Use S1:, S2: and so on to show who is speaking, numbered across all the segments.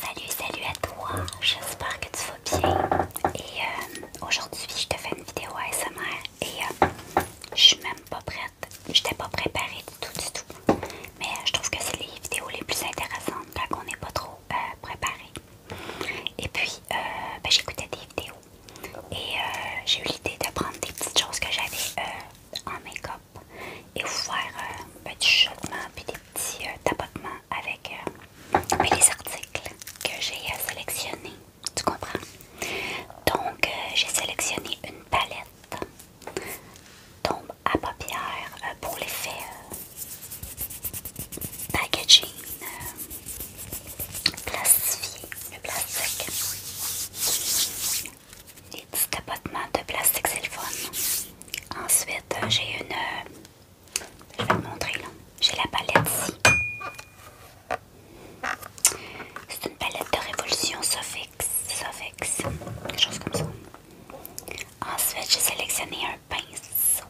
S1: Salut, salut à toi, j'espère que tu vas bien. Et euh, aujourd'hui, je te fais une vidéo ASMR et euh, je suis même pas prête, Je t'ai pas préparée du tout, du tout. Mais euh, je trouve que c'est les vidéos les plus intéressantes quand on n'est pas trop préparé. Et puis, ben, j'écoutais des vidéos et j'ai eu l'idée de prendre des petites choses que j'avais en make-up et vous faire euh, un petit chauffement et puis des petits euh, tapotements avec euh, les articles que j'ai sélectionnés. Tu comprends? Donc, j'ai sélectionné une palette tombe à paupières pour l'effet faire packaging plastifié, le plastique. Les petits tapotements de plastique, c'est Ensuite, j'ai une... Euh, je vais vous montrer là. J'ai la palette ici. C'est une palette de Révolution Sofix. Sofix. Quelque chose comme ça. Ensuite, j'ai sélectionné un pinceau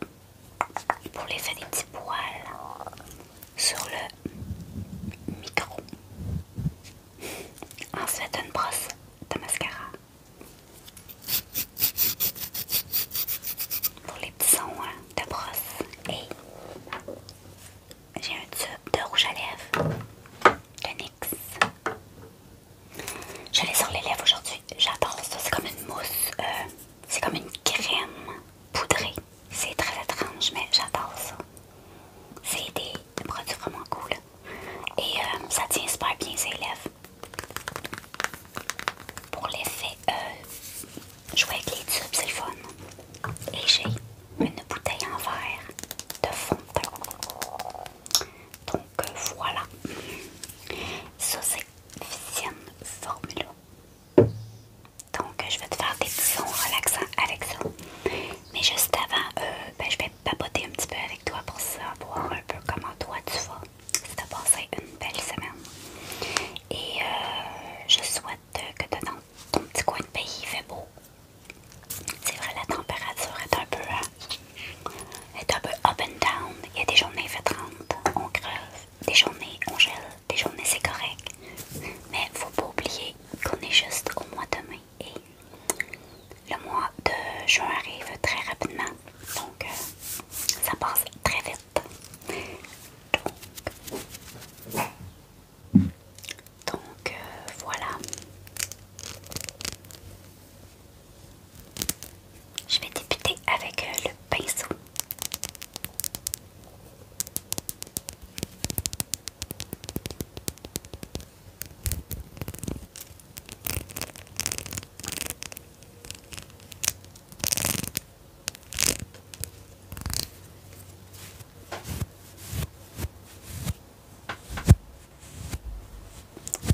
S1: pour l'effet des petits poils sur le micro. Ensuite, une brosse de mascara pour les petits sons hein, de brosse. Et j'ai un tube de rouge à lèvres de NYX. Je l'ai sur les lèvres aujourd'hui. J'adore ça. C'est comme une mousse. Euh, c'est comme une crème poudrée. C'est très étrange, mais j'adore ça. C'est des, produits vraiment cool. Et euh, ça tient super bien ses lèvres pour l'effet euh, jouer avec les tubes, c'est le fun. Et j'ai une bouteille en verre de fond de teint. Donc euh, voilà. Ça c'est Vision Formula. Donc je vais te faire des sons relaxants avec ça. Mais juste avant, euh, ben, je vais papoter un petit peu avec toi pour savoir un peu comment toi tu vas. Si tu as passé une belle semaine. Et euh, je souhaite que dans ton petit coin de pays, il fait beau. C'est vrai, la température est un peu, hein, est un peu up and down. Il y a des journées, il fait 30, on creuse, Des journées, on gèle. Des journées, c'est correct. Mais faut pas oublier qu'on est juste au mois de mai. Et le mois de juin arrive très rapidement, donc euh, ça passe très vite. Donc, euh, voilà. Je vais débuter avec euh, le pinceau.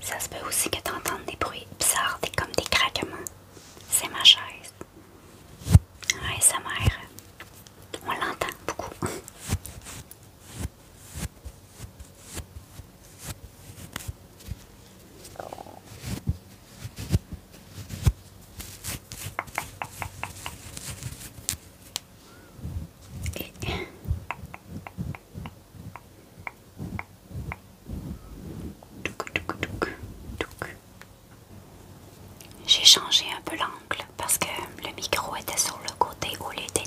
S1: Ça se peut aussi que tu des bruits bizarres, des, comme des craquements. C'est ma chaise. Ouais, sa mère. On l'entend beaucoup. J'ai changé un peu l'angle parce que le micro était sur le côté où il était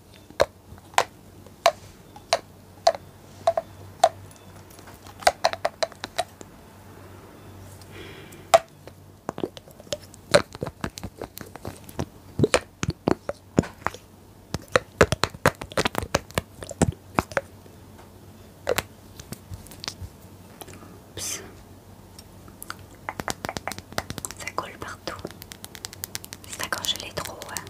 S1: Ça colle partout. C'est quand je l'ai trop. Hein.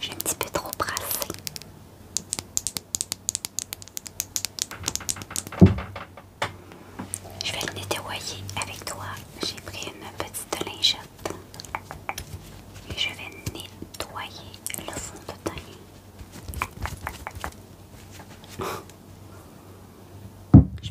S1: J'ai un petit peu trop brassé. Je vais nettoyer avec toi. J'ai pris une petite lingette et je vais nettoyer le fond de teint. Je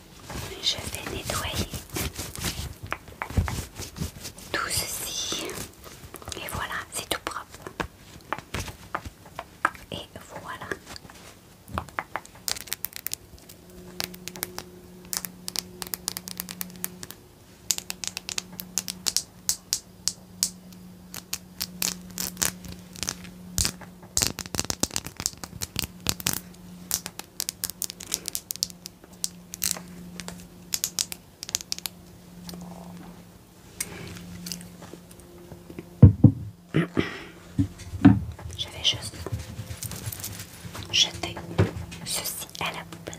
S1: je vais nettoyer tout ceci et voilà c'est tout propre et voilà je vais juste jeter ceci à la poubelle.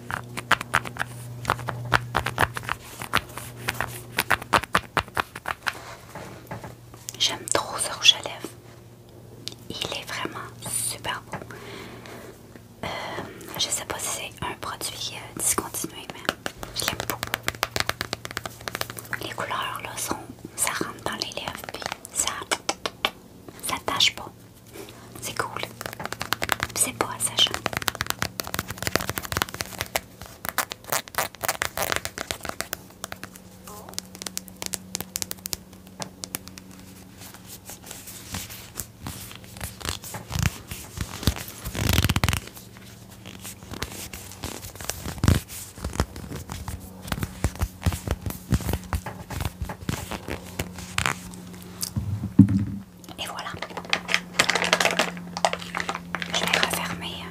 S1: J'aime trop ce rouge à lèvres. Il est vraiment super beau. Euh, je sais pas si c'est un produit euh, discontinué, mais je l'aime beaucoup. Les couleurs là sont, ça rentre dans les lèvres puis ça, ça tâche pas. C'est cool. C'est beau, Sacha. Et voilà. Je vais refermer.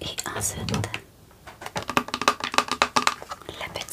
S1: Et ensuite, la petite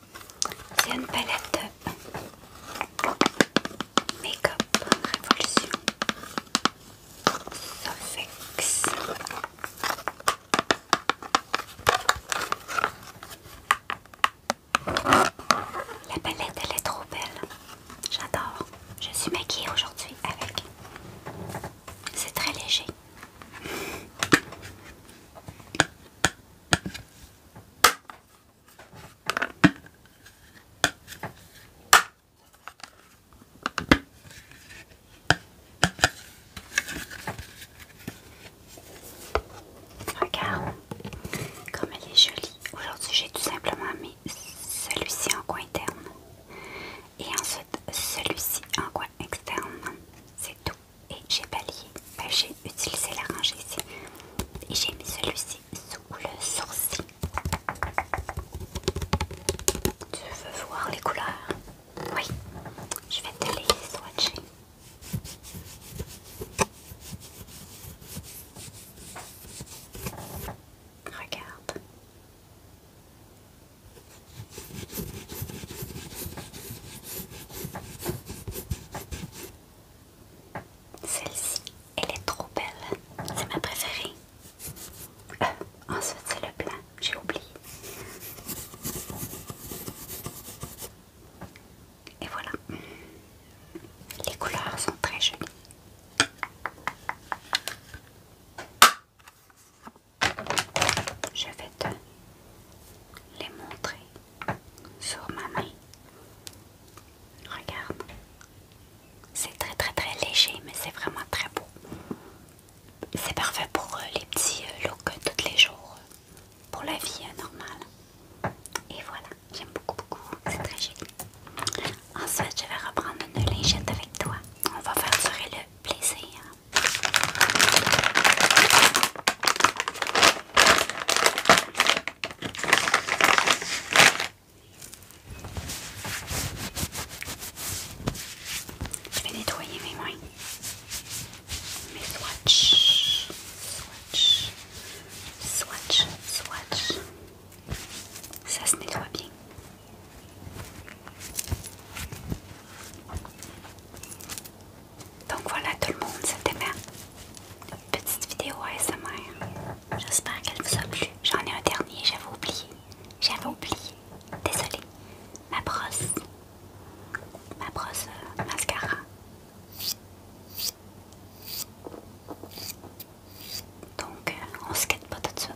S1: C'est une palette de Make-up Révolution La palette elle est trop belle. J'adore. Je suis maquillée aujourd'hui avec. C'est très léger. Regarde comme elle est jolie. Aujourd'hui, j'ai tout simplement mis celui-ci en coin interne et ensuite celui-ci en coin externe. C'est tout et j'ai balayé, j'ai utilisé la ici et j'ai mis celui-ci sous le sourcil. Tu veux voir les couleurs? Oui, je vais te les swatcher. Regarde. Celle-ci, elle est trop belle. C'est ma préférée. Ah, ensuite, c'est le plein. J'ai oublié. Et voilà. Les couleurs sont très jolies. Je vais te les montrer sur ma main. Regarde. C'est très très très léger, mais c'est vraiment très beau. C'est parfait pour euh, les petits euh, looks euh, tous les jours, pour la vie normale. Et voilà, j'aime beaucoup beaucoup, c'est très joli. Ensuite, je vais reprendre une lingette avec toi. On va faire le plaisir. Je vais nettoyer mes mains. Mes swatchs. Swatch. Swatch. Swatch. Ça se nettoie bien. Donc voilà tout le monde, c'était ma petite vidéo ASMR. J'espère qu'elle vous a plu. J'en ai un dernier, j'avais oublié. J'avais oublié. Désolée. Ma brosse. Ma brosse euh, mascara. Donc euh, on se quitte pas tout de suite.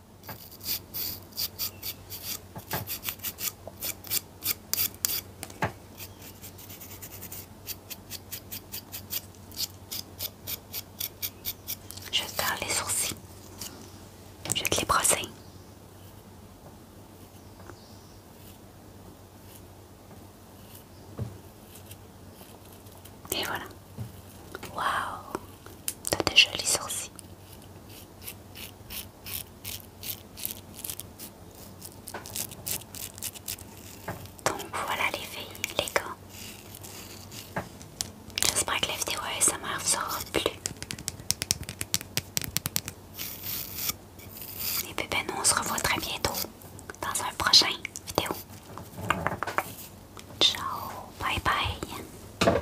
S1: Je vais les sourcils. Je vais te les brosser. Et voilà. Waouh, t'as des jolis sourcils. Donc voilà les filles, les gars. J'espère que la vidéo ASMR vous aura plu. Et puis ben nous on se revoit très bientôt dans un prochain vidéo. Ciao, bye bye.